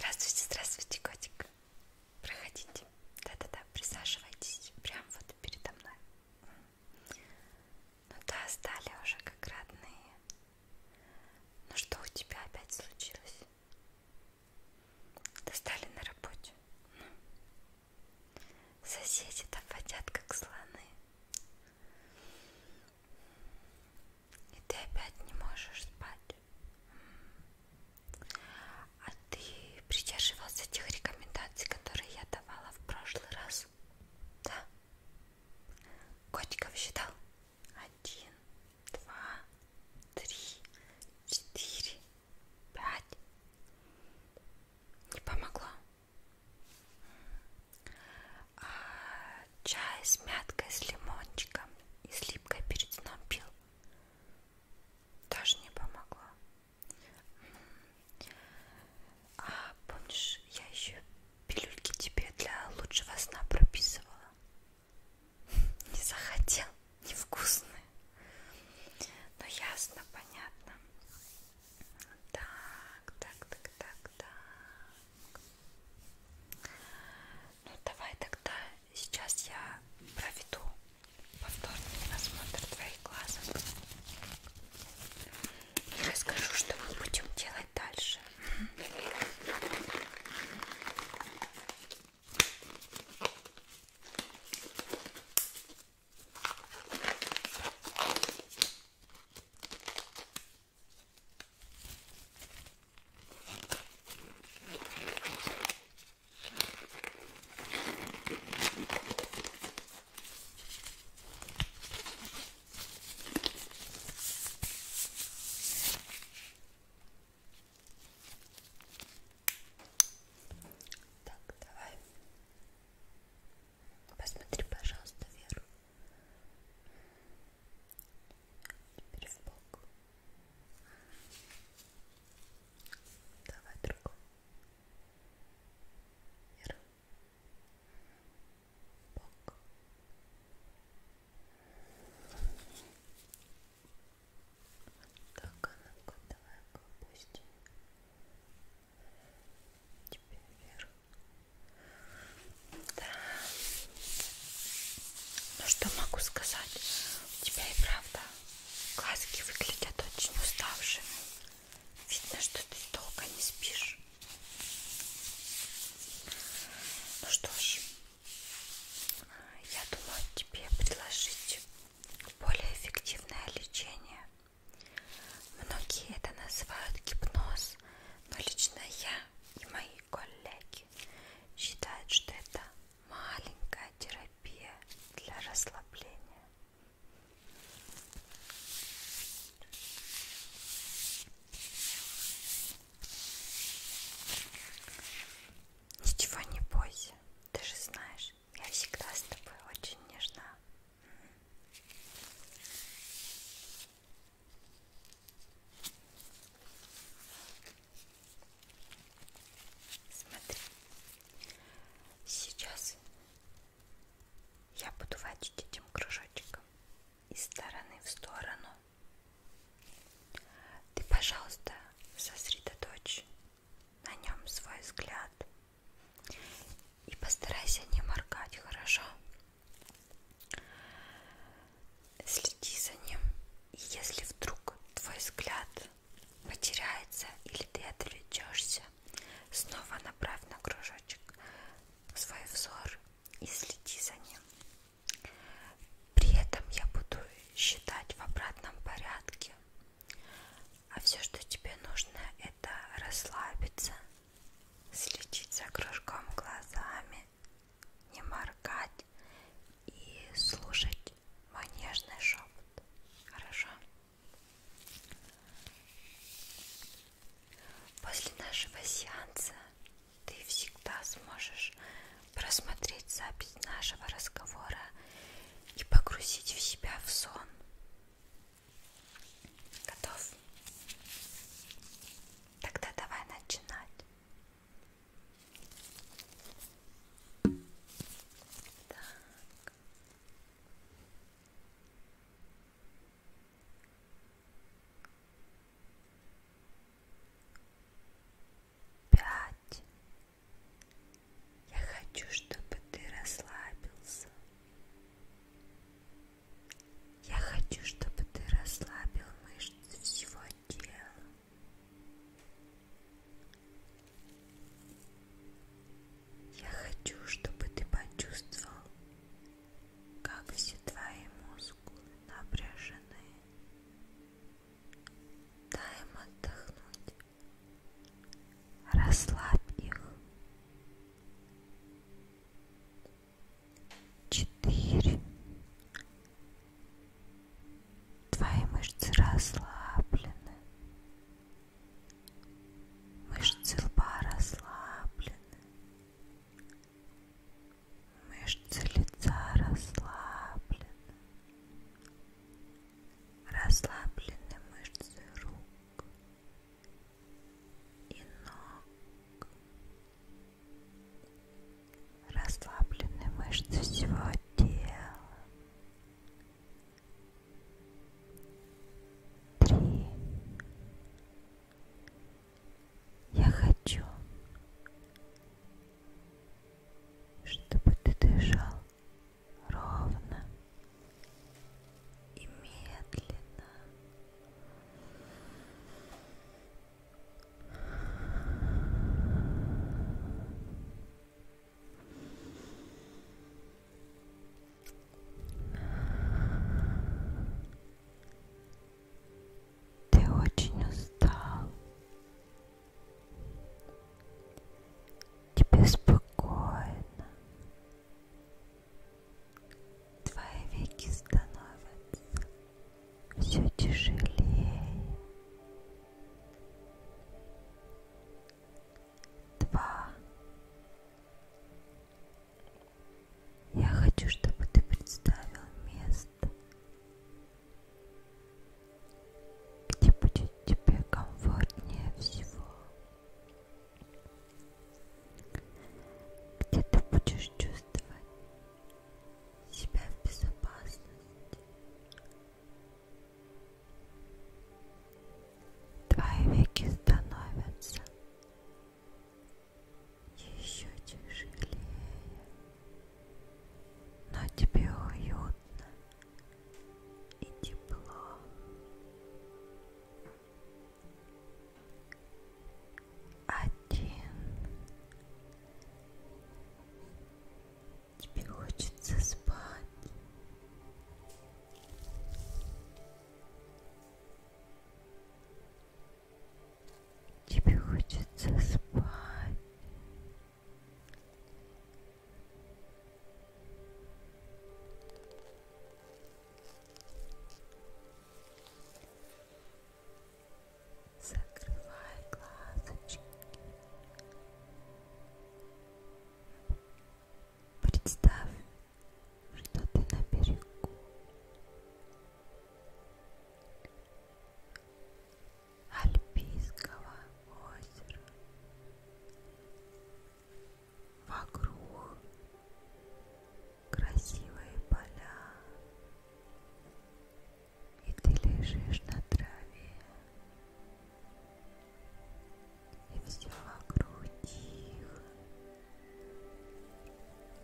Здравствуйте, здравствуйте, котик. Проходите. Да-да-да, присаживайтесь прямо вот передо мной. Ну да, стали уже как родные. Ну что у тебя опять случилось? Достали на работе. Ну. Соседи там водят, как слоны. И ты опять не можешь спать. А ты придерживался тех рекомендаций, которые я давала в прошлый раз? Да. Котиков считал? Один, два, три, четыре, пять. Не помогло. А чай с мяткой, с лимончиком и с липкой перед сном пил. Тоже не помогло. А помнишь, я еще пилюльки тебе для лучшего сна прописывала? Не захотел, невкусные. Но ну, ясно, понятно. Так, так, так, так, так. Ну давай тогда Сейчас я проведу повторный осмотр твоих глаз и расскажу, что мы будем делать дальше. Так, давай. Посмотри, пожалуйста, Веру. Теперь в бок. Давай другой. Вверх. Бок. Так, а ну-ка, давай-ка опустим. Теперь вверх. Да. Ну что могу сказать? У тебя и правда глазки выглядят очень уставшими. Видно, что ты долго не спишь. Ну что ж, я думаю тебе предложить более эффективное лечение. Многие это называют гипноз, но лично я и мои коллеги практике считают, что это маленькая терапия для расслабления. Ничего не бойся, ты же знаешь, я всегда с тобой очень нежна. Смотри, сейчас я буду водить этим кружочком из стороны в сторону. Ты, пожалуйста, сосредоточь на нем свой взгляд и постарайся не моргать, хорошо? Следи за ним, и если вдруг твой взгляд потеряется или ты отвлечешься, снова направь на кружочек свой взор и следи за ним. При этом я буду считать в обратном порядке. А все, что тебе нужно, это расслабиться, следить за кружком глазами, не моргать и слушать мой нежный шепот. Хорошо? После нашего сеанса ты всегда сможешь просмотреть запись нашего разговора и погрузить в себя в сон. Готов? Тогда давай начинать. Так. Пять. Я хочу, чтобы ты расслабился. Я хочу, чтобы ты расслабил мышцы всего тела. Я хочу, чтобы ты почувствовал, как все твои мускулы напряжены. Дай им отдохнуть. Расслабь их четыре твои мышцы расслаблены мышцы лба расслаблены мышцы лица расслаблены расслаблены мышцы рук и ног. Расслаблены мышцы всего тела. Три. Я хочу, чтобы ты дышал ровно и медленно. Ты очень устал тебе спокойно. Твои веки становятся все тяжелее. Два. Я хочу, чтобы ты представил место, где будет тебе комфортнее всего, где ты будешь чувствовать себя в безопасности. Твои веки становятся еще тяжелее, но тебе уютно и тепло. Один. Тебе хочется спать. Тебе хочется спать. Закрывай глазочки. Представь, что ты на берегу. Альпийского озера. Вокруг красивые поля, и ты лежишь на траве, и все вокруг тихо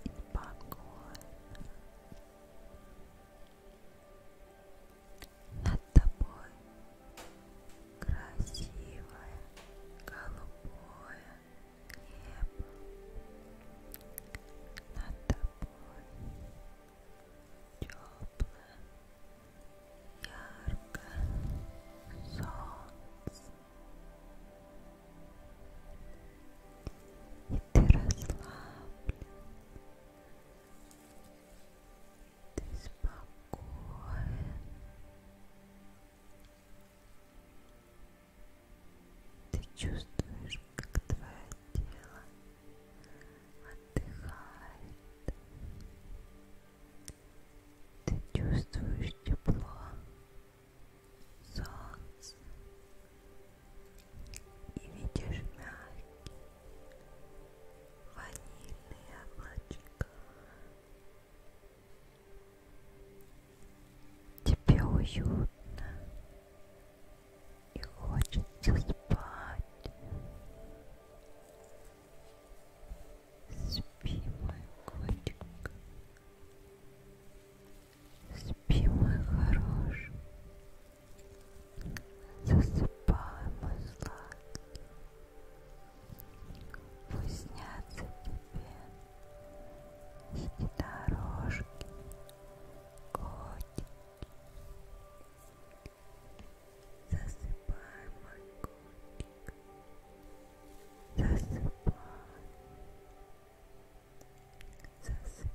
и спокойно. Над тобой красивое голубое небо. Над тобой теплое, яркое солнце. И ты расслаблен, ты спокоен. Ты чувствуешь, как твое тело отдыхает. Ты чувствуешь тепло солнца и видишь мягкие ванильные облачка. Тебе уютно и хочется спать. Спи, мой котик. Спи, мой хороший. Засыпай, мой сладкий. Пусть снятся тебе эти дорожки, котики. Засыпай, мой котик. Засыпай. Засыпай.